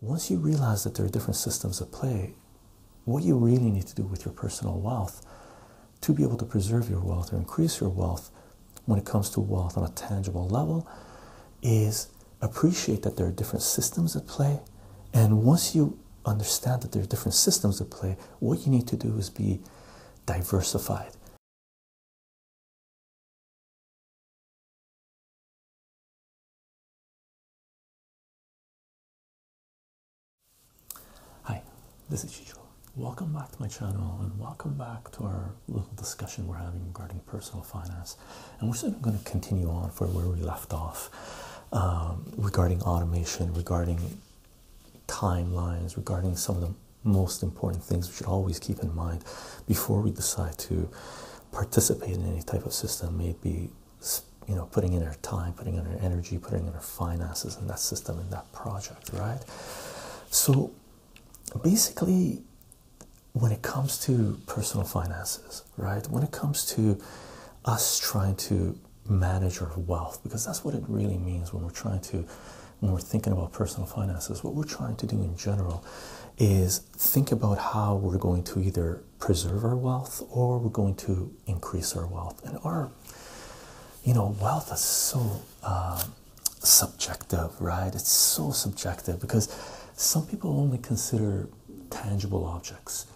Once you realize that there are different systems at play, what you really need to do with your personal wealth to be able to preserve your wealth or increase your wealth when it comes to wealth on a tangible level is appreciate that there are different systems at play. And once you understand that there are different systems at play, what you need to do is be diversified. Hi, this is Chicho. Welcome back to my channel and welcome back to our little discussion we're having regarding personal finance. And we're going to continue on for where we left off um, regarding automation, regarding timelines, regarding some of the most important things we should always keep in mind before we decide to participate in any type of system maybe you know putting in their time putting in their energy putting in their finances in that system in that project right so basically when it comes to personal finances right when it comes to us trying to manage our wealth because that's what it really means when we're trying to when we're thinking about personal finances what we're trying to do in general is think about how we're going to either preserve our wealth or we're going to increase our wealth. And our, you know, wealth is so um, subjective, right? It's so subjective because some people only consider tangible objects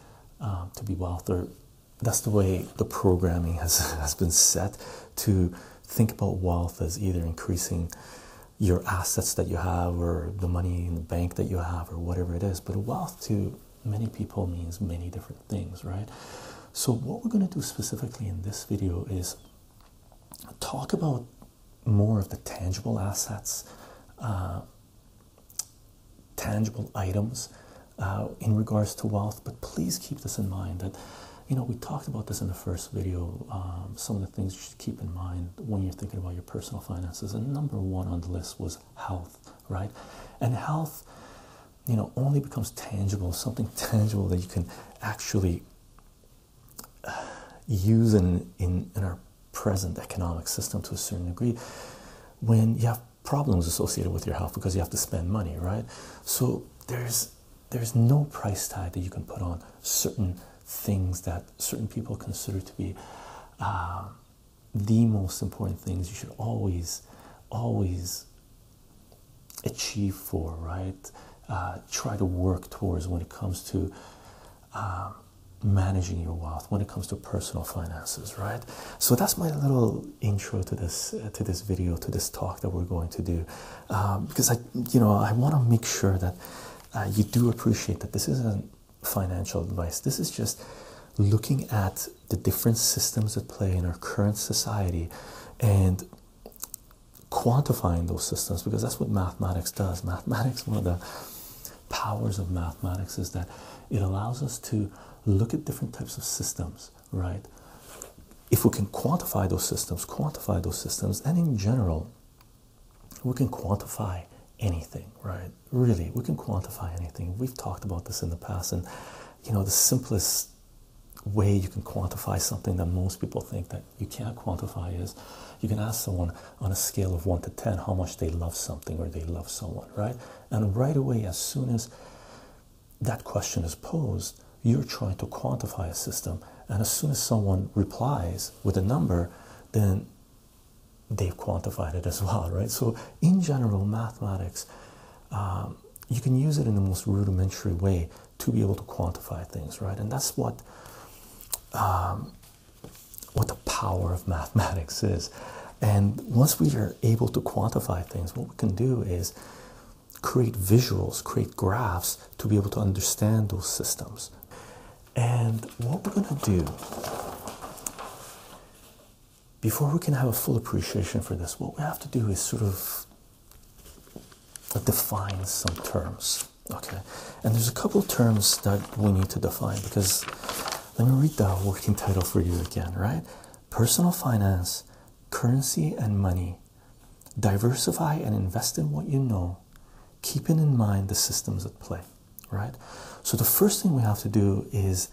um, to be wealth, or that's the way the programming has, has been set to think about wealth as either increasing your assets that you have or the money in the bank that you have or whatever it is but wealth to many people means many different things right so what we're going to do specifically in this video is talk about more of the tangible assets uh, tangible items uh, in regards to wealth but please keep this in mind that you know we talked about this in the first video um, some of the things keep in mind when you're thinking about your personal finances. And number one on the list was health, right? And health, you know, only becomes tangible, something tangible that you can actually uh, use in, in our present economic system to a certain degree when you have problems associated with your health because you have to spend money, right? So there's there's no price tag that you can put on certain things that certain people consider to be um, the most important things you should always, always achieve for, right? Uh, try to work towards when it comes to um, managing your wealth, when it comes to personal finances, right? So that's my little intro to this to this video, to this talk that we're going to do, um, because I, you know, I want to make sure that uh, you do appreciate that this isn't financial advice. This is just looking at the different systems that play in our current society and quantifying those systems because that's what mathematics does. Mathematics, one of the powers of mathematics is that it allows us to look at different types of systems, right? If we can quantify those systems, quantify those systems, and in general, we can quantify anything, right? Really, we can quantify anything. We've talked about this in the past, and you know, the simplest way you can quantify something that most people think that you can't quantify is you can ask someone on a scale of 1 to 10 how much they love something or they love someone, right? And right away, as soon as that question is posed, you're trying to quantify a system. And as soon as someone replies with a number, then they've quantified it as well, right? So, in general, mathematics, um, you can use it in the most rudimentary way to be able to quantify things, right? And that's what um, what the power of mathematics is. And once we are able to quantify things, what we can do is create visuals, create graphs to be able to understand those systems. And what we're going to do before we can have a full appreciation for this, what we have to do is sort of define some terms. Okay, and there's a couple terms that we need to define because let me read the working title for you again, right? Personal finance, currency and money. Diversify and invest in what you know, keeping in mind the systems at play right? So the first thing we have to do is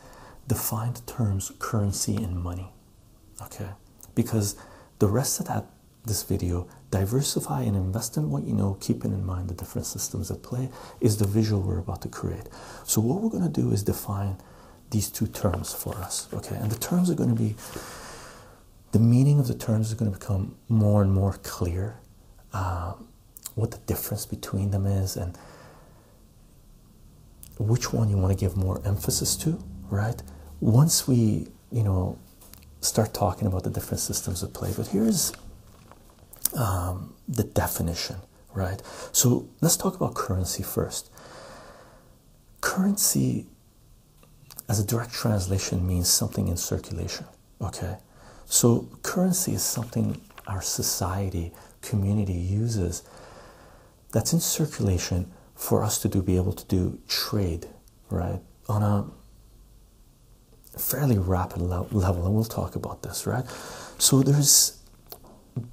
define the terms currency and money, okay? Because the rest of that this video diversify and invest in what you know keeping in mind the different systems at play is the visual we're about to create so what we're going to do is define these two terms for us okay and the terms are going to be the meaning of the terms is going to become more and more clear uh, what the difference between them is and which one you want to give more emphasis to, right? Once we, you know, start talking about the different systems of play, but here's um, the definition, right? So let's talk about currency first. Currency, as a direct translation, means something in circulation, Okay, so currency is something our society, community uses that's in circulation for us to be able to do trade, right, on a fairly rapid level. And we'll talk about this, right? So there's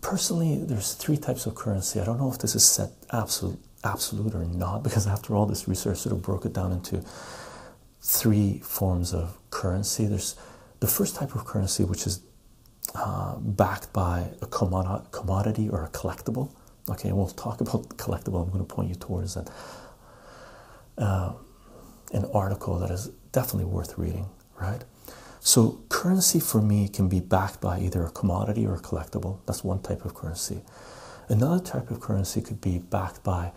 personally there's three types of currency. I don't know if this is set absolute absolute or not because after all this research sort of broke it down into three forms of currency. There's the first type of currency, which is uh, backed by a commodity or a collectible. Okay, we'll talk about collectible. I'm going to point you towards an, um, an article that is definitely worth reading, right? So, currency for me can be backed by either a commodity or a collectible. That's one type of currency. Another type of currency could be backed by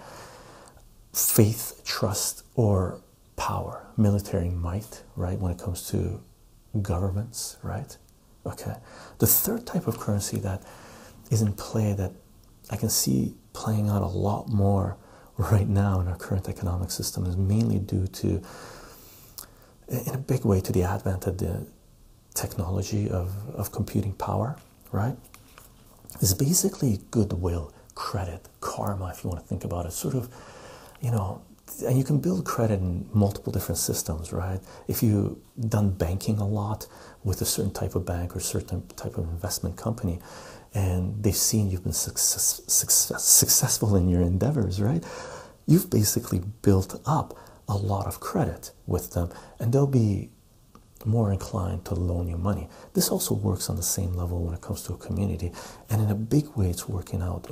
faith, trust, or power, military might, right? When it comes to governments, right? Okay. The third type of currency that is in play that I can see playing out a lot more right now in our current economic system is mainly due to, in a big way, to the advent of the technology of, of computing power right? It's basically goodwill, credit, karma, if you want to think about it. Sort of, you know, and you can build credit in multiple different systems, right? If you've done banking a lot with a certain type of bank or certain type of investment company, and they've seen you've been successful in your endeavors, right? You've basically built up a lot of credit with them, and they'll be more inclined to loan you money. This also works on the same level when it comes to a community, and in a big way, it's working out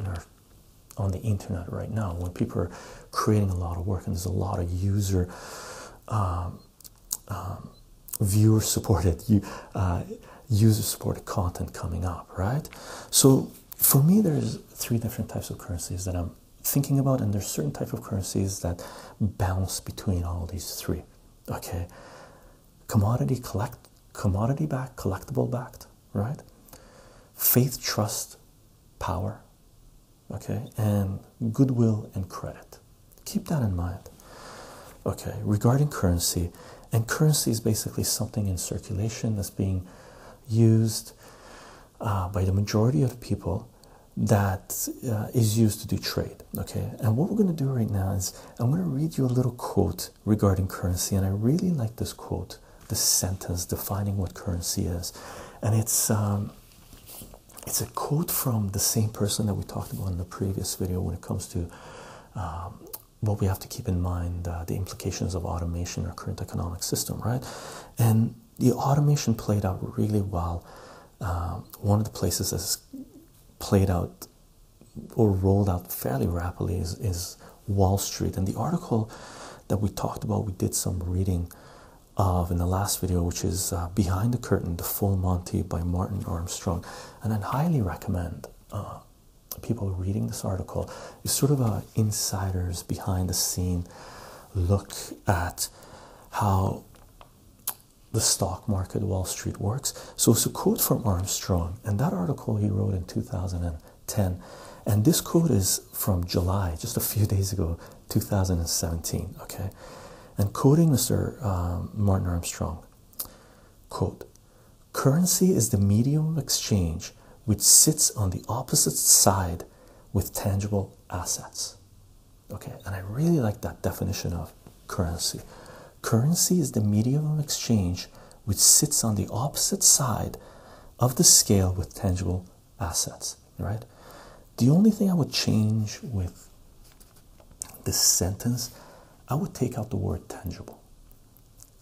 on the internet right now when people are creating a lot of work and there's a lot of user um, um, viewer supported uh, user supported content coming up right so for me there's three different types of currencies that i'm thinking about and there's certain type of currencies that Balance between all these three. Okay, commodity collect, commodity backed, collectible backed, right? Faith, trust, power, okay, and goodwill and credit. Keep that in mind. Okay, regarding currency, and currency is basically something in circulation that's being used uh, by the majority of people that uh, is used to do trade. Okay, and what we're going to do right now is I'm going to read you a little quote regarding currency, and I really like this quote, this sentence defining what currency is, and it's um, it's a quote from the same person that we talked about in the previous video when it comes to. Um, what we have to keep in mind uh, the implications of automation our current economic system, right? And the automation played out really well um, one of the places that's played out or rolled out fairly rapidly is, Wall Street. And the article that we talked about, we did some reading of in the last video, which is uh, Behind the Curtain, The Full Monty by Martin Armstrong. And i highly recommend uh, people reading this article. It's sort of an insider's behind the scene look at how the stock market, Wall Street works. So it's a quote from Armstrong, and that article he wrote in 2010. And this quote is from July, just a few days ago, 2017. Okay. And quoting Mr. Um, Martin Armstrong, quote, currency is the medium of exchange which sits on the opposite side with tangible assets. Okay, and I really like that definition of currency. Currency is the medium of exchange which sits on the opposite side of the scale with tangible assets, right? The only thing I would change with this sentence, I would take out the word tangible.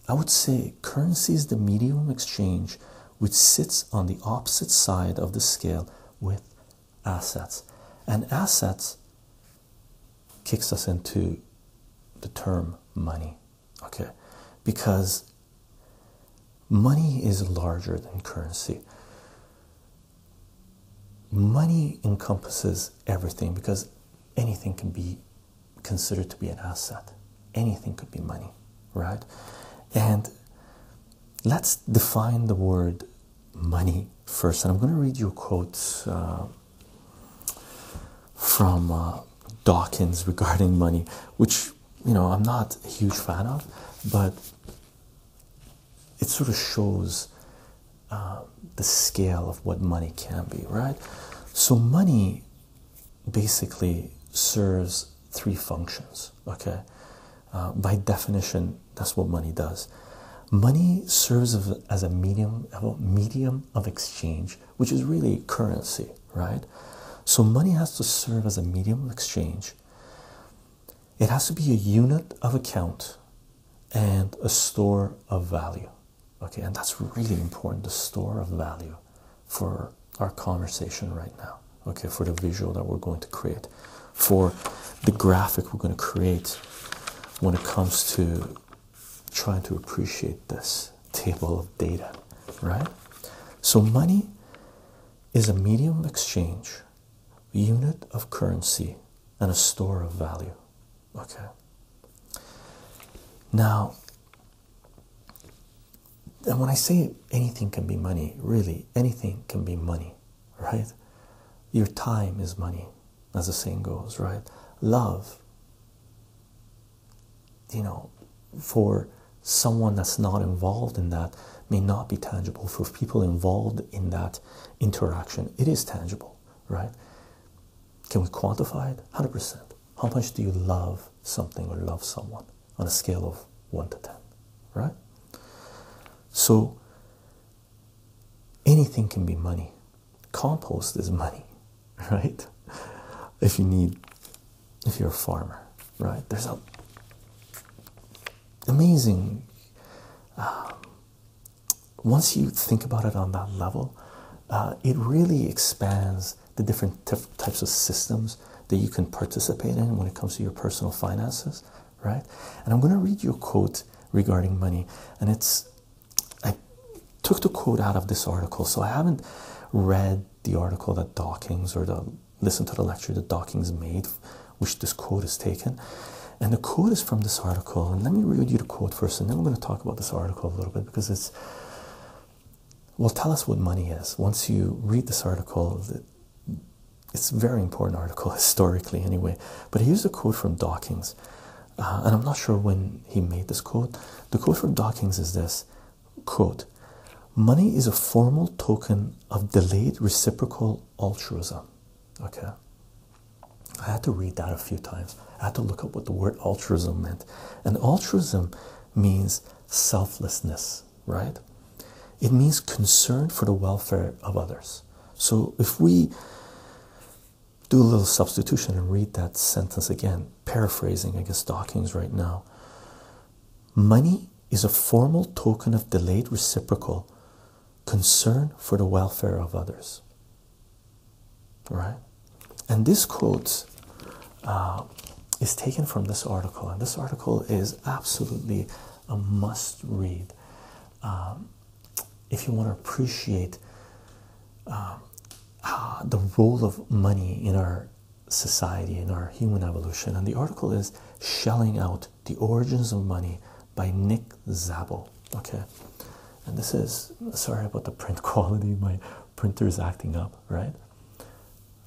I would say currency is the medium of exchange which sits on the opposite side of the scale with assets, and assets kicks us into the term money, okay, because money is larger than currency. Money encompasses everything because anything can be considered to be an asset, anything could be money, right? And let's define the word money first. And I'm going to read you a quote uh, from uh, Dawkins regarding money, which, you know, I'm not a huge fan of, but it sort of shows uh, the scale of what money can be, right? So, money basically serves three functions, okay? Uh, by definition, that's what money does. Money serves as a medium, a medium of exchange, which is really currency, right? So money has to serve as a medium of exchange. It has to be a unit of account and a store of value. Okay, and that's really important, the store of value for our conversation right now okay for the visual that we're going to create for the graphic we're going to create when it comes to trying to appreciate this table of data right so money is a medium of exchange unit of currency and a store of value okay now and when i say anything can be money really anything can be money right? Your time is money, as the saying goes, right? Love, you know, for someone that's not involved in that may not be tangible. For people involved in that interaction, it is tangible, right? Can we quantify it? 100%. How much do you love something or love someone on a scale of 1 to 10, right? So Anything can be money. Compost is money, right? If you need, if you're a farmer, right? There's a amazing. Um, once you think about it on that level, uh, it really expands the different types of systems that you can participate in when it comes to your personal finances right? And I'm going to read you a quote regarding money. And it's, I took the quote out of this article, so I haven't read the article that Dockings or the listen to the lecture that Dockings made, which this quote is taken. And the quote is from this article. And let me read you the quote first, and then we're going to talk about this article a little bit because it's will tell us what money is. Once you read this article, That it's a very important article historically anyway but here's a quote from dawkins uh, and i'm not sure when he made this quote the quote from dawkins is this quote money is a formal token of delayed reciprocal altruism okay i had to read that a few times i had to look up what the word altruism meant and altruism means selflessness right? It means concern for the welfare of others. So if we do a little substitution and read that sentence again, paraphrasing, I guess, Dawkins right now. Money is a formal token of delayed reciprocal concern for the welfare of others. Right? And this quote uh, is taken from this article, and this article is absolutely a must read um, if you want to appreciate um, ah, the role of money in our society, in our human evolution. And the article is Shelling Out the Origins of Money by Nick Zabel. Okay. And this is sorry about the print quality, my printer is acting up, right?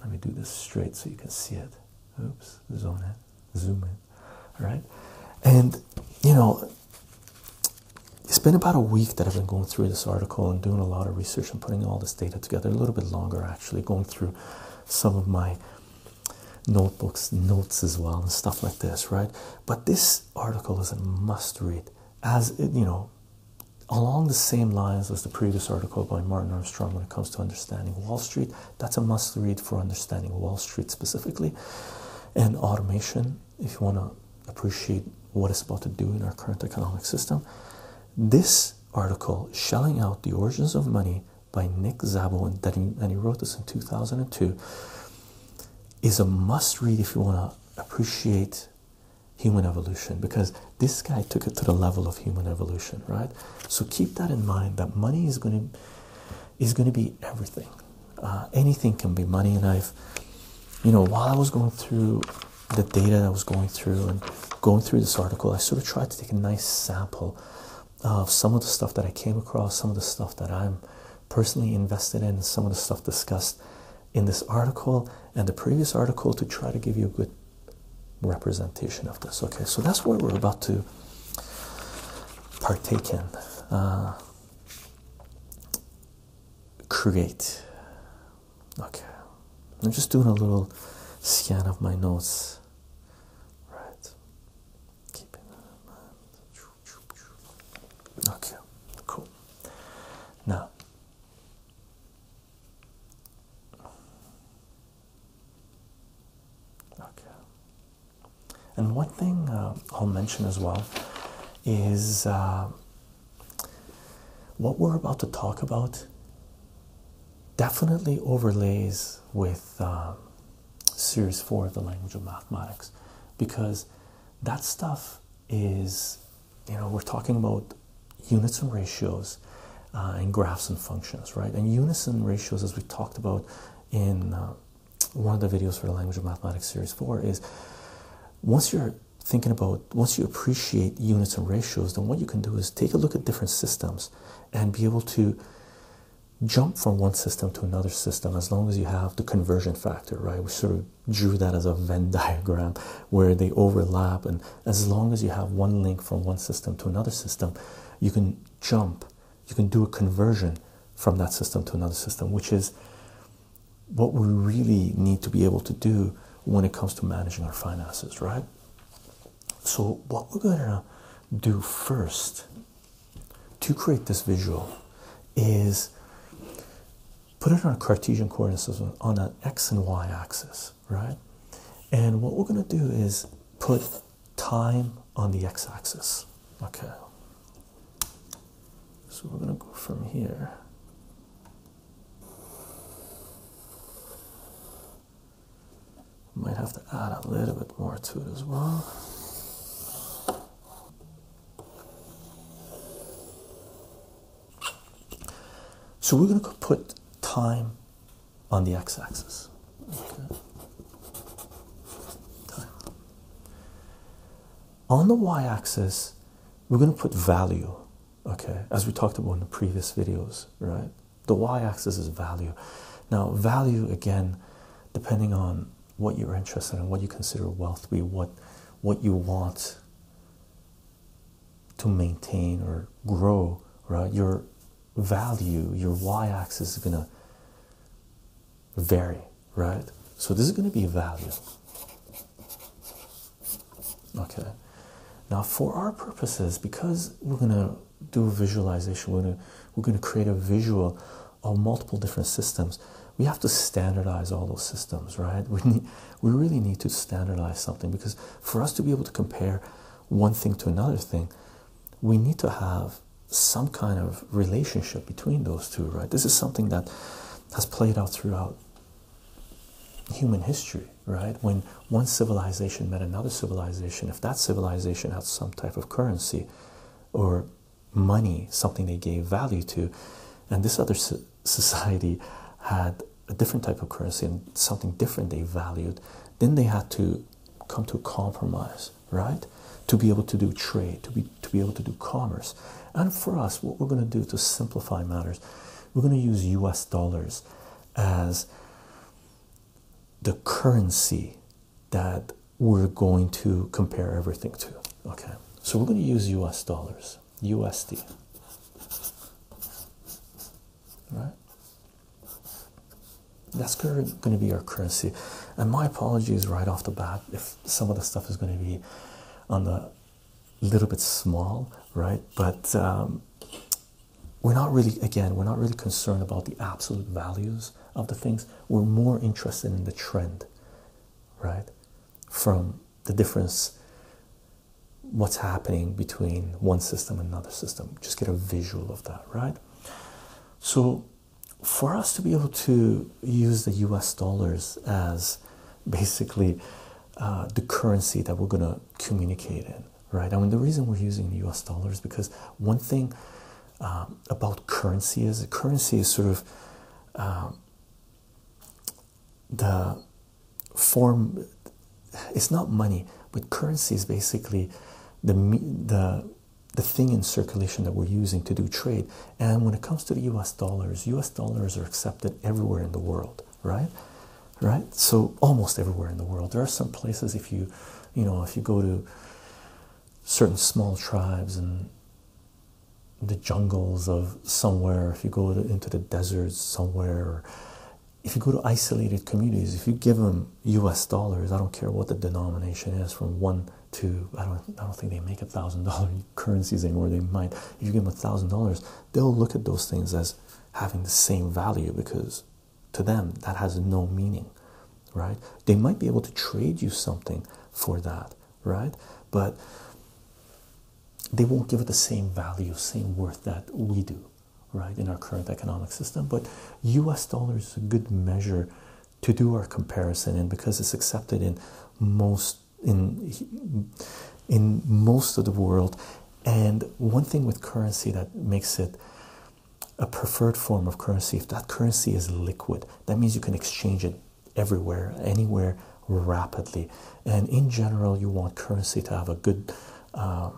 Let me do this straight so you can see it. Oops, zoom in zoom in, right? And you know, it's been about a week that I've been going through this article and doing a lot of research and putting all this data together. A little bit longer, actually, going through some of my notebooks, notes as well, and stuff like this, right? But this article is a must read, as it, you know, along the same lines as the previous article by Martin Armstrong when it comes to understanding Wall Street. That's a must read for understanding Wall Street specifically and automation. If you want to appreciate what it's about to do in our current economic system, this article, Shelling Out the Origins of Money by Nick Szabo, and he wrote this in 2002, is a must read if you want to appreciate human evolution because this guy took it to the level of human evolution, right? So keep that in mind that money is going to is going to be everything. Uh, anything can be money. And life. you know, while I was going through the data that I was going through and going through this article, I sort of tried to take a nice sample of some of the stuff that I came across, some of the stuff that I'm personally invested in, some of the stuff discussed in this article and the previous article to try to give you a good representation of this. Okay, so that's where we're about to partake in, uh, create. Okay, I'm just doing a little scan of my notes. Right, keeping that in mind. Okay, cool. Now. Okay. And one thing uh, I'll mention as well is uh, what we're about to talk about definitely overlays with uh, Series 4 the Language of Mathematics because that stuff is, you know, we're talking about units and ratios and uh, graphs and functions, right? And unison ratios, as we talked about in uh, one of the videos for the Language of Mathematics Series 4, is once you're thinking about, once you appreciate units and ratios, then what you can do is take a look at different systems and be able to jump from one system to another system as long as you have the conversion factor, right? We sort of drew that as a Venn diagram where they overlap, and as long as you have one link from one system to another system, you can jump you can do a conversion from that system to another system, which is what we really need to be able to do when it comes to managing our finances, right? So, what we're going to do first to create this visual is put it on a Cartesian coordinate system on an x and y axis, right? And what we're going to do is put time on the x axis. Okay, so we're going to go from here. Might have to add a little bit more to it as well. So we're going to put time on the x axis. On the y axis, we're going to put value, okay, as we talked about in the previous videos, right? The y axis is value. Now, value again, depending on what you're interested in, what you consider wealth to be, what, what you want to maintain or grow, right? Your value, your y axis is going to vary, right? So this is going to be a value. Okay. Now, for our purposes, because we're going to do a visualization, we're going to, we're going to create a visual of multiple different systems. We have to standardize all those systems, right? We need, we really need to standardize something because for us to be able to compare one thing to another thing, we need to have some kind of relationship between those two, right? This is something that has played out throughout human history, right? When one civilization met another civilization, if that civilization had some type of currency or money, something they gave value to, and this other society had a different type of currency and something different they valued, then they had to come to a compromise, right? To be able to do trade, to be to be able to do commerce. And for us, what we're going to do to simplify matters, we're going to use US dollars as the currency that we're going to compare everything to. Okay, so we're going to use US dollars, USD right? That's going to be our currency. And my apologies right off the bat if some of the stuff is going to be on the little bit small, right? But um, we're not really, again, we're not really concerned about the absolute values of the things. We're more interested in the trend, right? From the difference, what's happening between one system and another system. Just get a visual of that, right? So, for us to be able to use the US dollars as basically uh, the currency that we're going to communicate in, right? I mean, the reason we're using the US dollars because one thing um, about currency is currency is sort of um, the form it's not money, but currency is basically the the the thing in circulation that we're using to do trade. And when it comes to the US dollars, US dollars are accepted everywhere in the world, right? Right? So almost everywhere in the world. There are some places if you you know, if you go to certain small tribes and the jungles of somewhere, if you go into the deserts somewhere, if you go to isolated communities, if you give them U.S. dollars, I don't care what the denomination is, from one to I don't I don't think they make a thousand dollar currencies anymore. They might. If you give them a thousand dollars, they'll look at those things as having the same value because to them that has no meaning, right? They might be able to trade you something for that, right? But they won't give it the same value, same worth that we do, right, in our current economic system. But US dollar is a good measure to do our comparison in because it's accepted in most in in most of the world. And one thing with currency that makes it a preferred form of currency, if that currency is liquid, that means you can exchange it everywhere, anywhere rapidly. And in general, you want currency to have a good uh,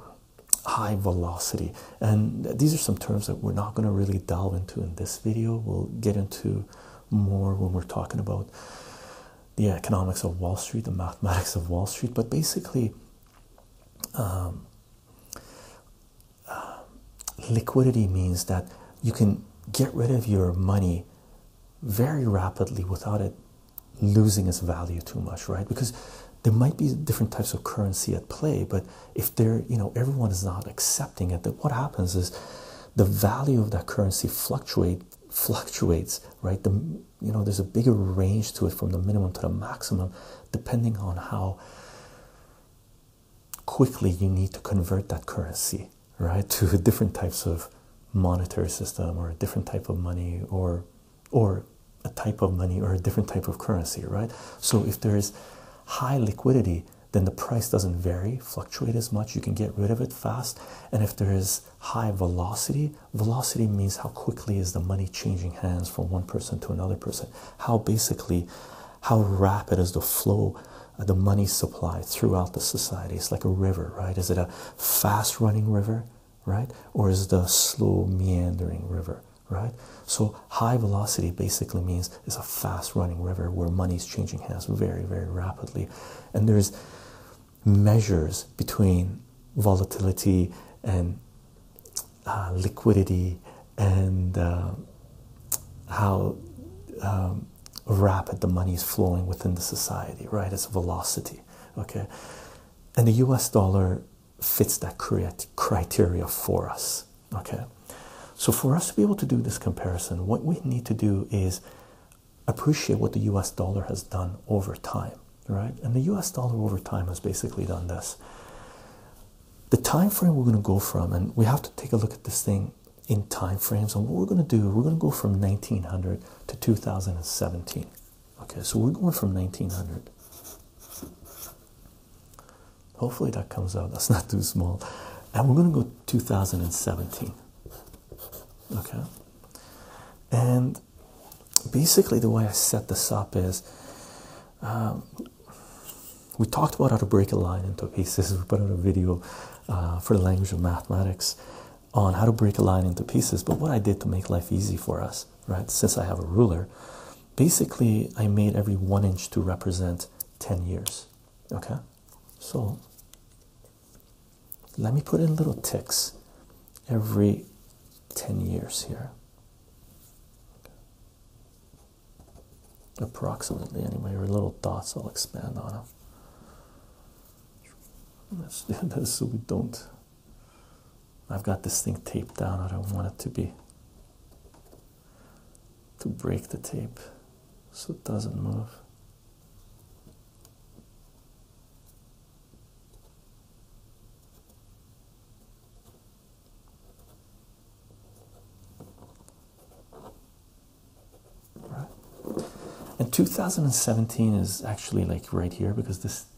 high velocity. And these are some terms that we're not going to really delve into in this video. We'll get into more when we're talking about the economics of Wall Street, the mathematics of Wall Street. But basically, um, uh, liquidity means that you can get rid of your money very rapidly without it losing its value too much, right? Because there might be different types of currency at play, but if they you know, everyone is not accepting it, then what happens is the value of that currency fluctuate fluctuates, right? The you know, there's a bigger range to it from the minimum to the maximum, depending on how quickly you need to convert that currency, right, to different types of monetary system or a different type of money or or a type of money or a different type of currency, right? So if there is high liquidity, then the price doesn't vary, fluctuate as much, you can get rid of it fast. And if there is high velocity, velocity means how quickly is the money changing hands from one person to another person, how basically how rapid is the flow of uh, the money supply throughout the society. It's like a river, right? Is it a fast running river? right? Or is the slow meandering river, right? So high velocity basically means it's a fast running river where money is changing hands very, very rapidly. And there's measures between volatility and uh, liquidity and uh, how um, rapid the money is flowing within the society, right? It's velocity, okay? And the US dollar fits that criteria for us. Okay, so for us to be able to do this comparison, what we need to do is appreciate what the US dollar has done over time, right? And the US dollar over time has basically done this. The time frame we're going to go from, and we have to take a look at this thing in time frames. And what we're going to do, we're going to go from 1900 to 2017. Okay, so we're going from 1900. Hopefully that comes out. That's not too small. And we're going to go 2017. Okay. And basically, the way I set this up is um, we talked about how to break a line into pieces. We put out a video uh, for the language of mathematics on how to break a line into pieces. But what I did to make life easy for us, right, since I have a ruler, basically I made every one inch to represent 10 years. Okay, so let me put in little ticks every 10 years here, approximately, anyway, or little dots. I'll expand on them. Let's do this so we don't I've got this thing taped down. I don't want it to be to break the tape so it doesn't move. Right. And 2017 is actually like right here because this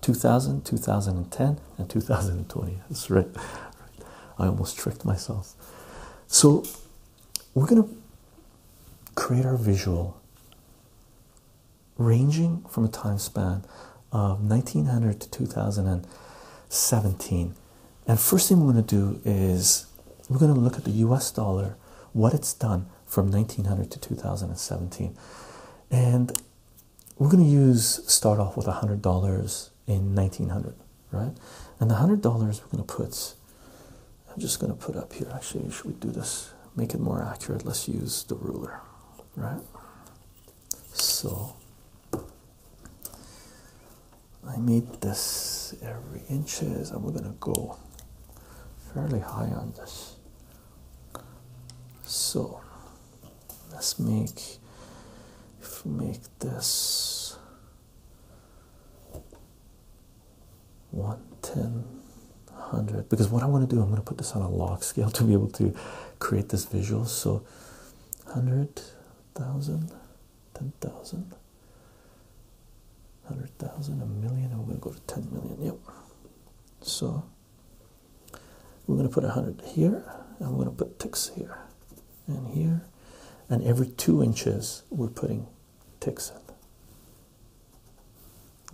2000, 2010, and 2020. That's right. I almost tricked myself. So we're going to create our visual ranging from a time span of 1900 to 2017. And first thing we're going to do is we're going to look at the US dollar, what it's done from 1900 to 2017. And we're going to use start off with $100 in 1900 right and the $100 we're going to put i'm just going to put up here actually should we do this make it more accurate let's use the ruler right so i made this every inches and we're going to go fairly high on this so let's make make this 110 because what I want to do I'm going to put this on a log scale to be able to create this visual so 100,000 10,000 100,000 a million and we're going to go to 10 million yep so we're going to put 100 here, and we're going to put ticks here and here. And every two inches, we're putting ticks in.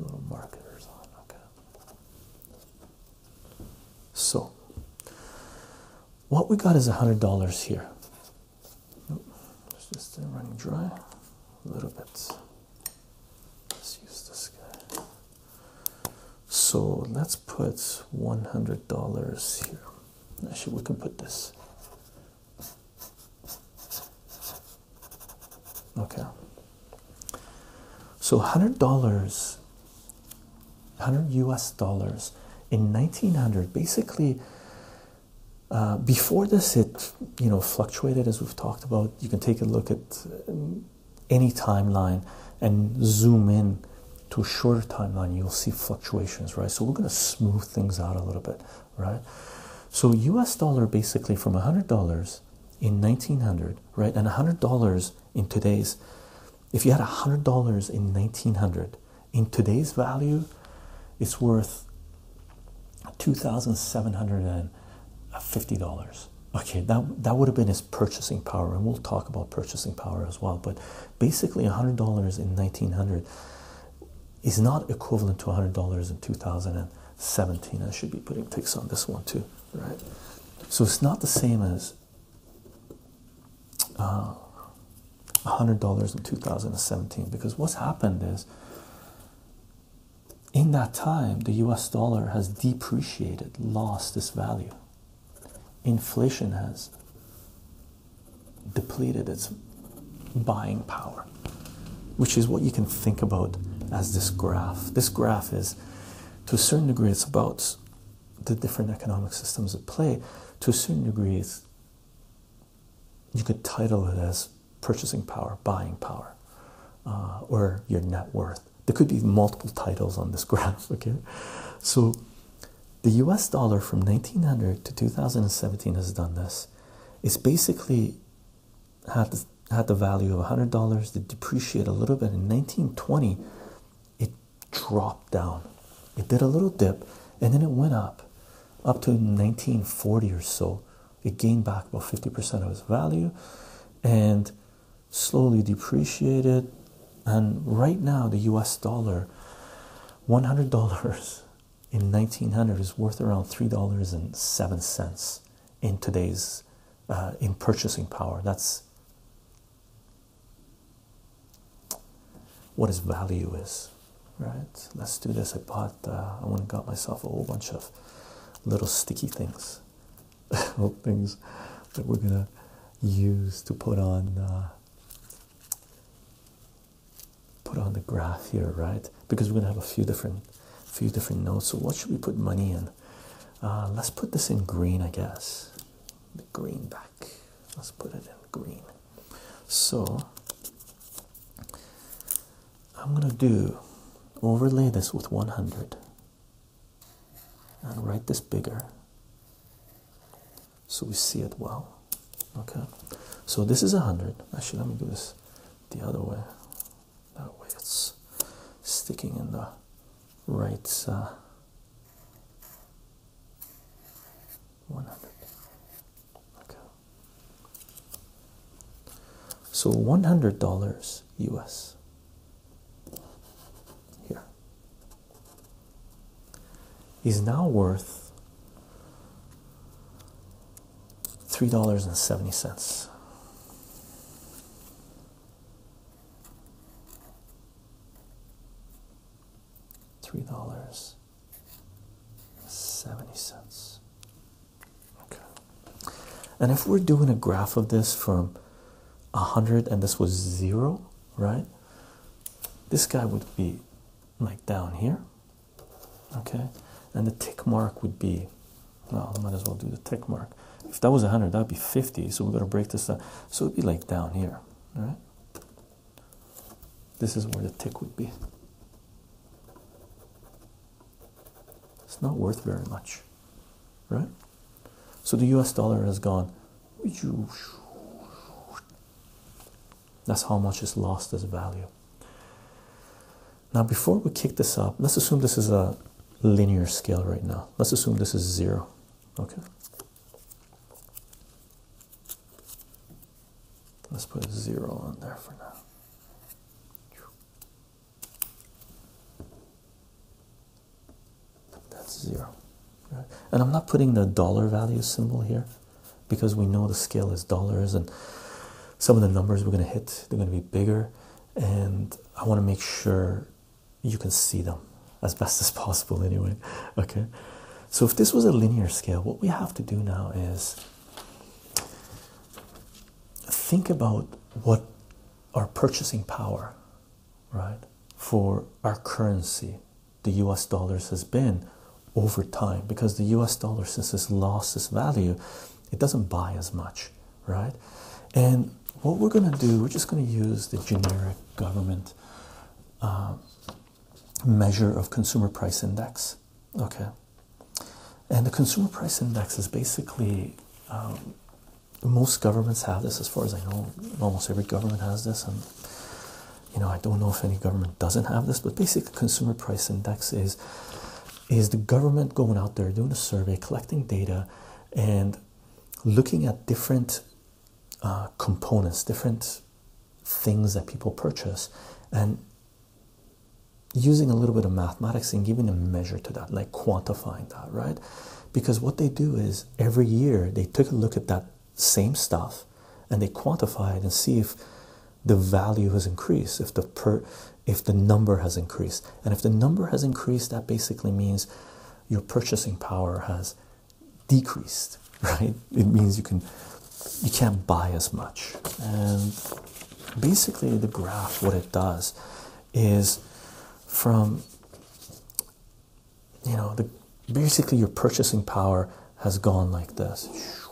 Little markers on, okay. So, what we got is $100 here. it's just running dry a little bit. Let's use this guy. So let's put $100 here. Actually, we can put this. Okay. So $100, 100 US dollars in 1900, basically. Uh, before this, it you know fluctuated as we've talked about. You can take a look at um, any timeline and zoom in to a shorter timeline, you'll see fluctuations, right? So we're going to smooth things out a little bit, right? So US dollar basically from $100 in 1900, right? And $100 in today's, if you had $100 in 1900, in today's value, it's worth $2,750, Okay, that, that would have been his purchasing power, and we'll talk about purchasing power as well. But basically, $100 in 1900 is not equivalent to $100 in 2017. I should be putting ticks on this one too, right? So it's not the same as uh, $100 in 2017 because what's happened is in that time the US dollar has depreciated, lost its value, inflation has depleted its buying power, which is what you can think about as this graph. This graph is, to a certain degree, it's about the different economic systems at play. To a certain degree, you could title it as purchasing power, buying power, uh, or your net worth. There could be multiple titles on this graph, okay? So the US dollar from 1900 to 2017 has done this. It's basically had had the value of $100 to depreciate a little bit. In 1920, it dropped down. It did a little dip and then it went up up to 1940 or so. It gained back about 50% of its value. And slowly depreciated, and right now the US dollar $100 in 1900 is worth around $3.07 in today's uh, in purchasing power. That's what its value is, right? Let's do this. I bought, uh, I went and got myself a whole bunch of little sticky things things that we're gonna use to put on uh, put on the graph here, right? Because we're gonna have a few different few different notes. So what should we put money in? Uh, let's put this in green, I guess. The green back. Let's put it in green. So I'm gonna do overlay this with 100 and write this bigger so we see it well. Okay, so this is a hundred. Actually, let me do this the other way. That way, it's sticking in the right uh, one hundred. Okay, so one hundred dollars US here. He's now worth three dollars and seventy cents. Three dollars seventy cents. Okay. And if we're doing a graph of this from 100 and this was zero, right? This guy would be like down here, okay? And the tick mark would be well, I might as well do the tick mark. If that was 100, that'd be 50. So we're going to break this down. So it'd be like down here, all right? This is where the tick would be. It's not worth very much, right? So the US dollar has gone. That's how much is lost as value. Now, before we kick this up, let's assume this is a linear scale right now. Let's assume this is zero. Okay. Let's put zero on there for now. That's zero. Right? And I'm not putting the dollar value symbol here because we know the scale is dollars and some of the numbers we're going to hit, they're going to be bigger. And I want to make sure you can see them as best as possible, anyway. Okay. So if this was a linear scale, what we have to do now is think about what our purchasing power right, for our currency, the US dollars, has been over time because the US dollar, since it's lost its value, it doesn't buy as much, right? And what we're going to do, we're just going to use the generic government uh, measure of consumer price index, okay? And the consumer price index is basically um, most governments have this, as far as I know. Almost every government has this, and you know I don't know if any government doesn't have this. But basically, consumer price index is is the government going out there doing a survey, collecting data, and looking at different uh, components, different things that people purchase, and using a little bit of mathematics and giving a measure to that, like quantifying that, right? because what they do is every year they took a look at that same stuff and they quantify it and see if the value has increased if the per if the number has increased and if the number has increased that basically means your purchasing power has decreased right it means you can you can't buy as much and basically the graph what it does is from you know the basically your purchasing power has gone like this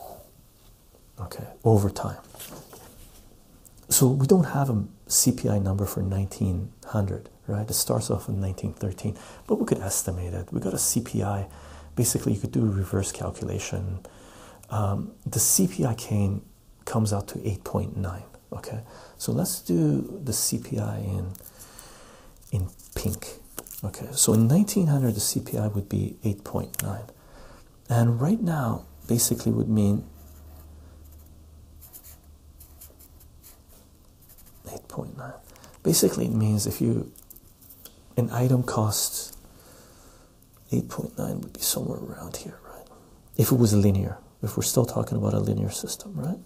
okay over time so we don't have a cpi number for 1900 right it starts off in 1913 but we could estimate it we got a cpi basically you could do a reverse calculation um, the cpi came comes out to 8.9 okay so let's do the cpi in in pink okay so in 1900 the cpi would be 8.9 and right now basically would mean 8.9 basically it means if you an item costs 8.9 would be somewhere around here right if it was linear if we're still talking about a linear system, right?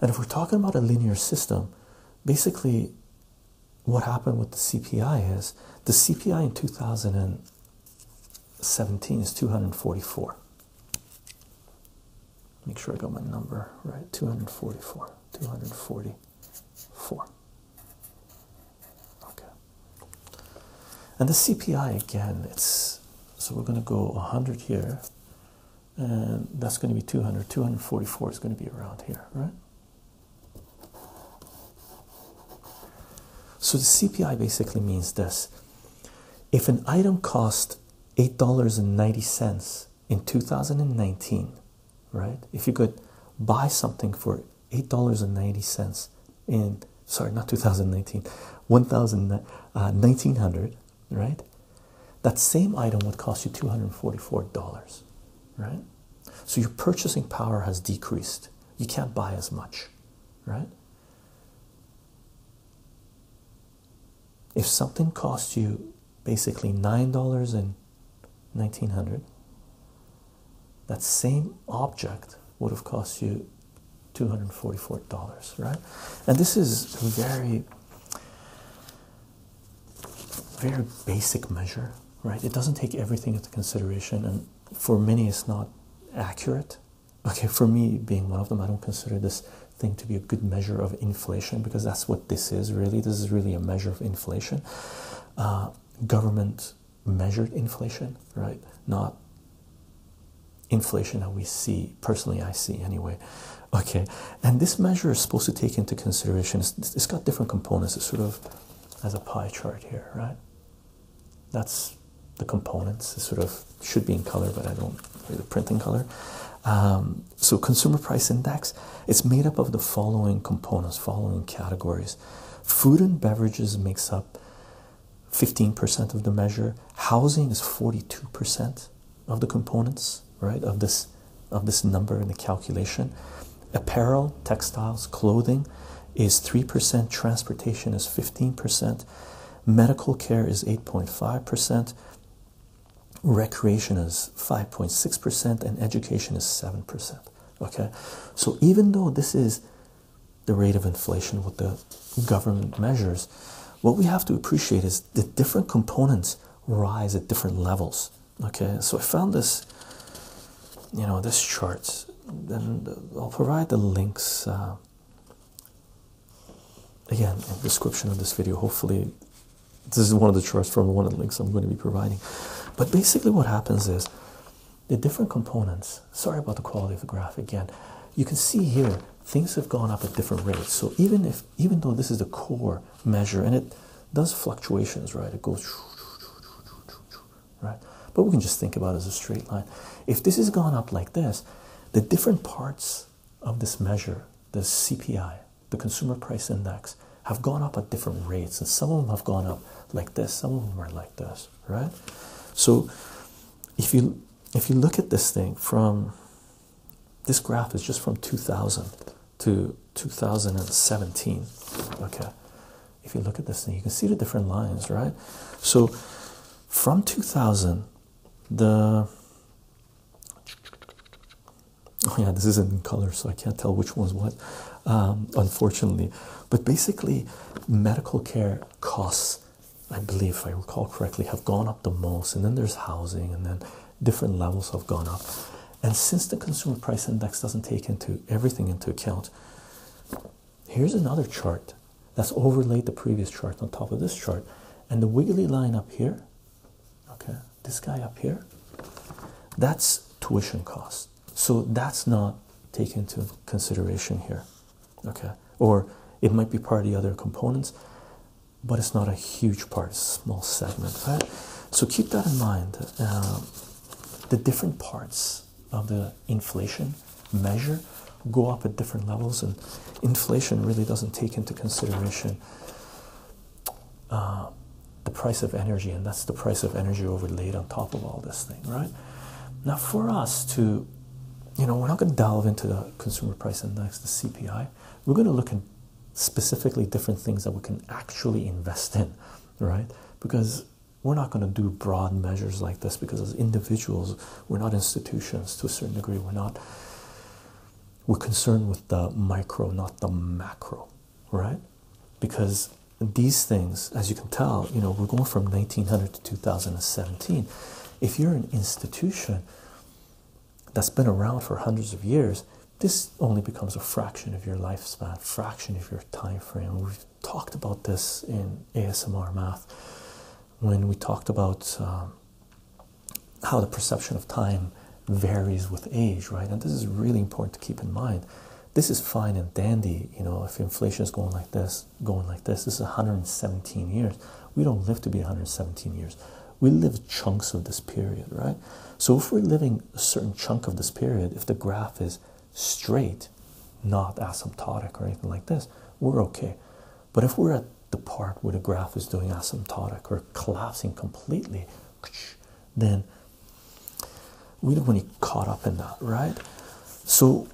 And if we're talking about a linear system, basically what happened with the CPI is the CPI in 2017 is 244. Make sure I got my number right 244. 244. Okay and the CPI again, it's so we're going to go 100 here, and that's going to be 200. 244 is going to be around here, right? So the CPI basically means this if an item cost $8.90 in 2019, right? If you could buy something for $8.90 in sorry, not 2019, 1900, right? That same item would cost you $244, right? So your purchasing power has decreased. You can't buy as much, right? If something costs you basically $9 in 1900, that same object would have cost you $244, right? And this is very, very basic measure, right? It doesn't take everything into consideration, and for many, it's not accurate. Okay, for me, being one of them, I don't consider this thing to be a good measure of inflation because that's what this is really. This is really a measure of inflation. Uh, government measured inflation, right? Not inflation that we see personally, I see anyway. Okay, and this measure is supposed to take into consideration it's got different components, it's sort of as a pie chart here, right? That's the components, it sort of should be in color, but I don't the printing color. Um, so consumer price index it's made up of the following components, following categories. Food and beverages makes up 15% of the measure. Housing is 42% of the components, right? Of this of this number in the calculation. Apparel, textiles, clothing is 3%, transportation is 15%, medical care is 8.5%, recreation is 5.6%, and education is 7%. Okay, so even though this is the rate of inflation, with the government measures, what we have to appreciate is the different components rise at different levels. Okay, so I found this, you know, this charts. and I'll provide the links uh, again description of this video. Hopefully, this is one of the charts from one of the links I'm going to be providing. But basically, what happens is the different components. Sorry about the quality of the graph again. You can see here things have gone up at different rates. So even if even though this is the core measure and it does fluctuations, right? It goes right. But we can just think about it as a straight line. If this has gone up like this, the different parts of this measure, the CPI, the consumer price index, have gone up at different rates, and some of them have gone up like this, some of them are like this right? So if you if you look at this thing from this graph is just from 2000 to 2017 okay if you look at this thing you can see the different lines right so from 2000 the oh yeah this isn't in color so i can't tell which one's what um, unfortunately but basically medical care costs, I believe, if I recall correctly, have gone up the most. And then there's housing, and then different levels have gone up. And since the consumer price index doesn't take into everything into account, here's another chart that's overlaid the previous chart on top of this chart. And the wiggly line up here, okay, this guy up here, that's tuition cost. So that's not taken into consideration here okay or it might be part of the other components but it's not a huge part it's small segment right so keep that in mind um, the different parts of the inflation measure go up at different levels and inflation really doesn't take into consideration uh, the price of energy and that's the price of energy overlaid on top of all this thing right now for us to you know, we're not going to delve into the consumer price index, the CPI. We're going to look at specifically different things that we can actually invest in, right? Because we're not going to do broad measures like this because as individuals, we're not institutions to a certain degree. We're not, we're concerned with the micro, not the macro, right? Because these things, as you can tell, you know, we're going from 1900 to 2017. If you're an institution that's been around for hundreds of years, this only becomes a fraction of your lifespan, fraction of your time frame. We've talked about this in ASMR math when we talked about um, how the perception of time varies with age, right? And this is really important to keep in mind. This is fine and dandy, you know, if inflation is going like this going like this. This is 117 years. We don't live to be 117 years. We live chunks of this period, right? So if we're living a certain chunk of this period, if the graph is straight, not asymptotic or anything like this, we're okay. But if we're at the part where the graph is doing asymptotic or collapsing completely, then we don't want to be caught up in that, right? So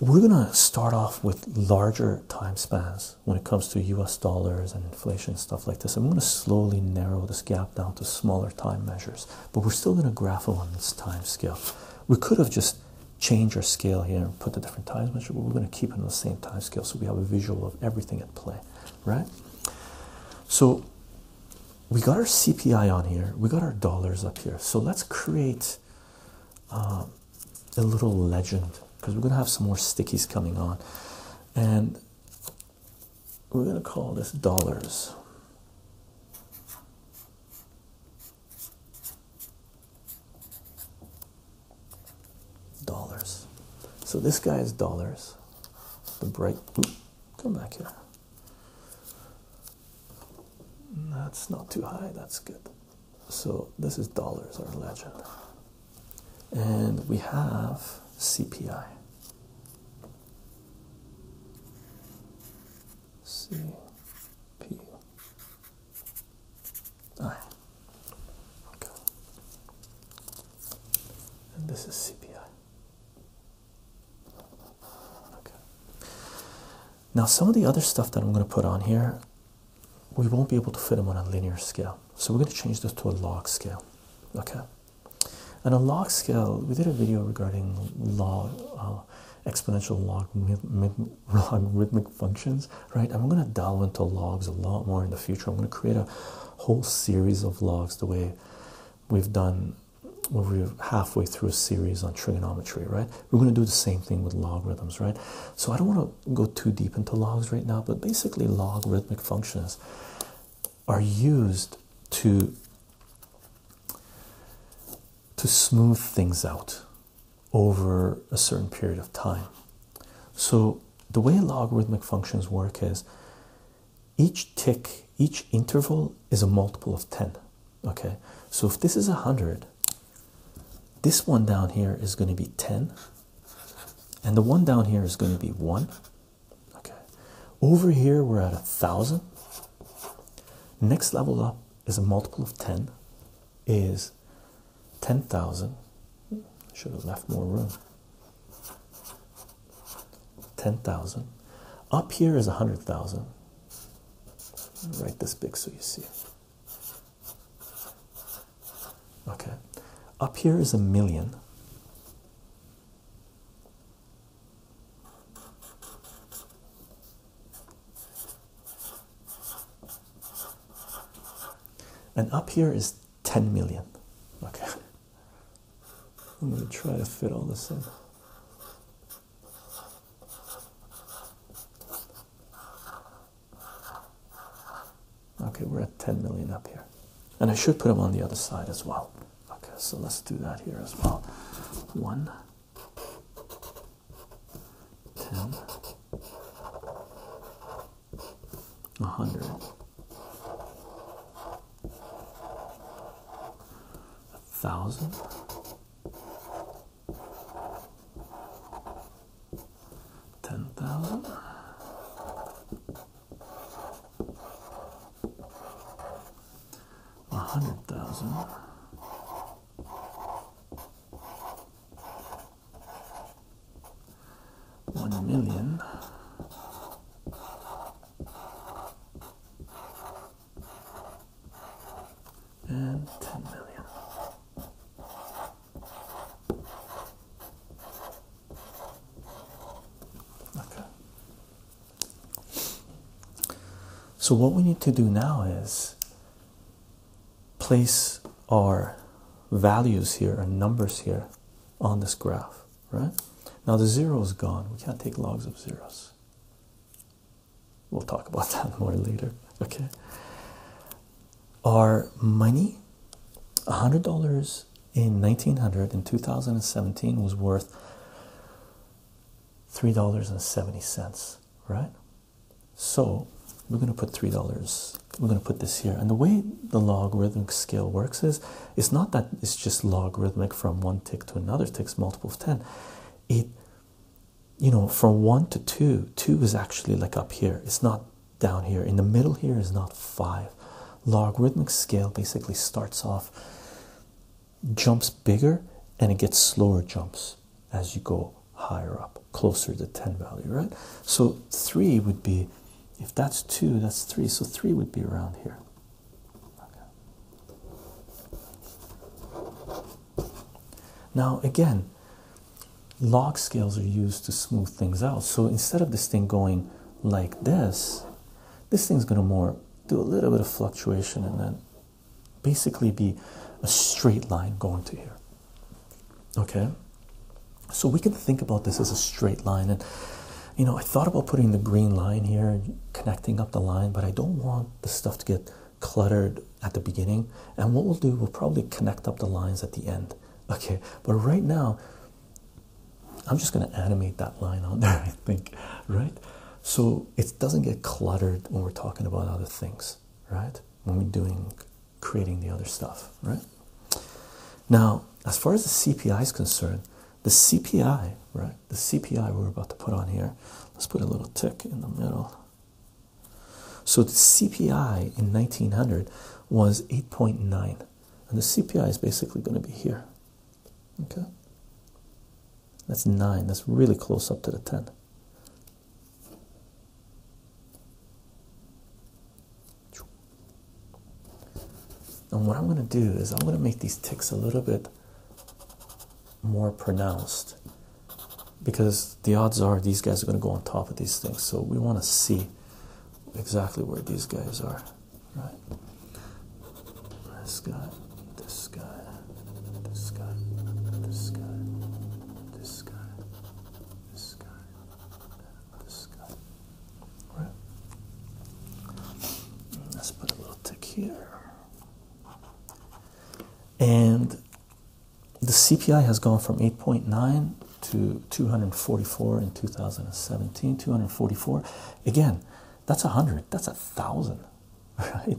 we're going to start off with larger time spans when it comes to US dollars and inflation stuff like this. I'm going to slowly narrow this gap down to smaller time measures, but we're still going to graph on this time scale. We could have just changed our scale here and put the different time measure, but we're going to keep it on the same time scale so we have a visual of everything at play, right? So we got our CPI on here, we got our dollars up here. So let's create um, a little legend because we're gonna have some more stickies coming on, and we're gonna call this dollars. Dollars. So this guy is dollars. The bright. Oops, come back here. That's not too high, that's good. So this is dollars, our legend. And we have CPI. CPI. Okay. And this is CPI. Okay. Now, some of the other stuff that I'm going to put on here, we won't be able to fit them on a linear scale. So we're going to change this to a log scale. Okay. And a log scale, we did a video regarding log, uh, exponential log, logarithmic functions, right? I'm going to delve into logs a lot more in the future. I'm going to create a whole series of logs the way we've done we're halfway through a series on trigonometry, right? We're going to do the same thing with logarithms, right? So I don't want to go too deep into logs right now, but basically, logarithmic functions are used to to smooth things out over a certain period of time. So the way logarithmic functions work is each tick, each interval is a multiple of 10 okay so if this is a hundred this one down here is going to be 10 and the one down here is going to be one okay over here we're at a thousand next level up is a multiple of 10 is 10,000 should have left more room 10,000 up here is 100,000 write this big so you see. Okay, up here is a million. And up here is 10 million. Okay. I'm going to try to fit all this in. Okay, we're at 10 million up here. And I should put them on the other side as well. Okay, so let's do that here as well. One, 10, 100, 1,000 ten thousand. A hundred thousand. One million and 10 million. Okay. So, what we need to do now is place our values here, our numbers here on this graph, right? Now, the zero is gone, we can't take logs of zeros. We'll talk about that more later. Okay. Our money, $100 in 1900 in 2017 was worth $3.70, right? So we're going to put $3. We're going to put this here. And the way the logarithmic scale works is it's not that it's just logarithmic from one tick to another takes multiple of 10. It you know, from one to two, two is actually like up here, it's not down here. In the middle, here is not five. Logarithmic scale basically starts off, jumps bigger, and it gets slower jumps as you go higher up, closer to 10 value, right? So three would be if that's two, that's three. So three would be around here. Now, again, log scales are used to smooth things out. So instead of this thing going like this, this thing's going to more do a little bit of fluctuation and then basically be a straight line going to here. Okay? So we can think about this as a straight line. And, you know, I thought about putting the green line here and connecting up the line, but I don't want the stuff to get cluttered at the beginning and what we'll do we'll probably connect up the lines at the end okay but right now i'm just going to animate that line on there i think right so it doesn't get cluttered when we're talking about other things right when we're doing creating the other stuff right now as far as the cpi is concerned the cpi right the CPI we're about to put on here. Let's put a little tick in the middle. So the CPI in 1900 was 8.9, and the CPI is basically going to be here. Okay, that's nine. That's really close up to the 10. And what I'm going to do is I'm going to make these ticks a little bit more pronounced because the odds are these guys are going to go on top of these things. So we want to see exactly where these guys are. Right? This guy, this guy, this guy, this guy, this guy, this guy, this guy. Right? Let's put a little tick here and the CPI has gone from 8.9 to 244 in 2017. 244 again, that's a hundred, that's a thousand, right?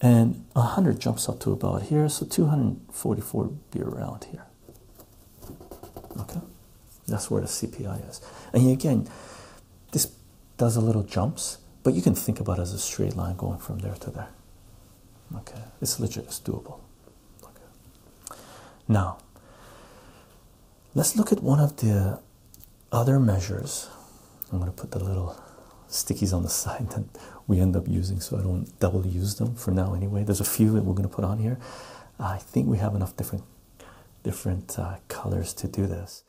And a hundred jumps up to about here, so 244 be around here. Okay, that's where the CPI is, and again, this does a little jumps, but you can think about it as a straight line going from there to there. Okay, it's legit, it's doable. Okay. Now, let's look at one of the other measures. I'm going to put the little stickies on the side that we end up using so I don't double use them for now anyway. There's a few that we're going to put on here. I think we have enough different different uh, colors to do this.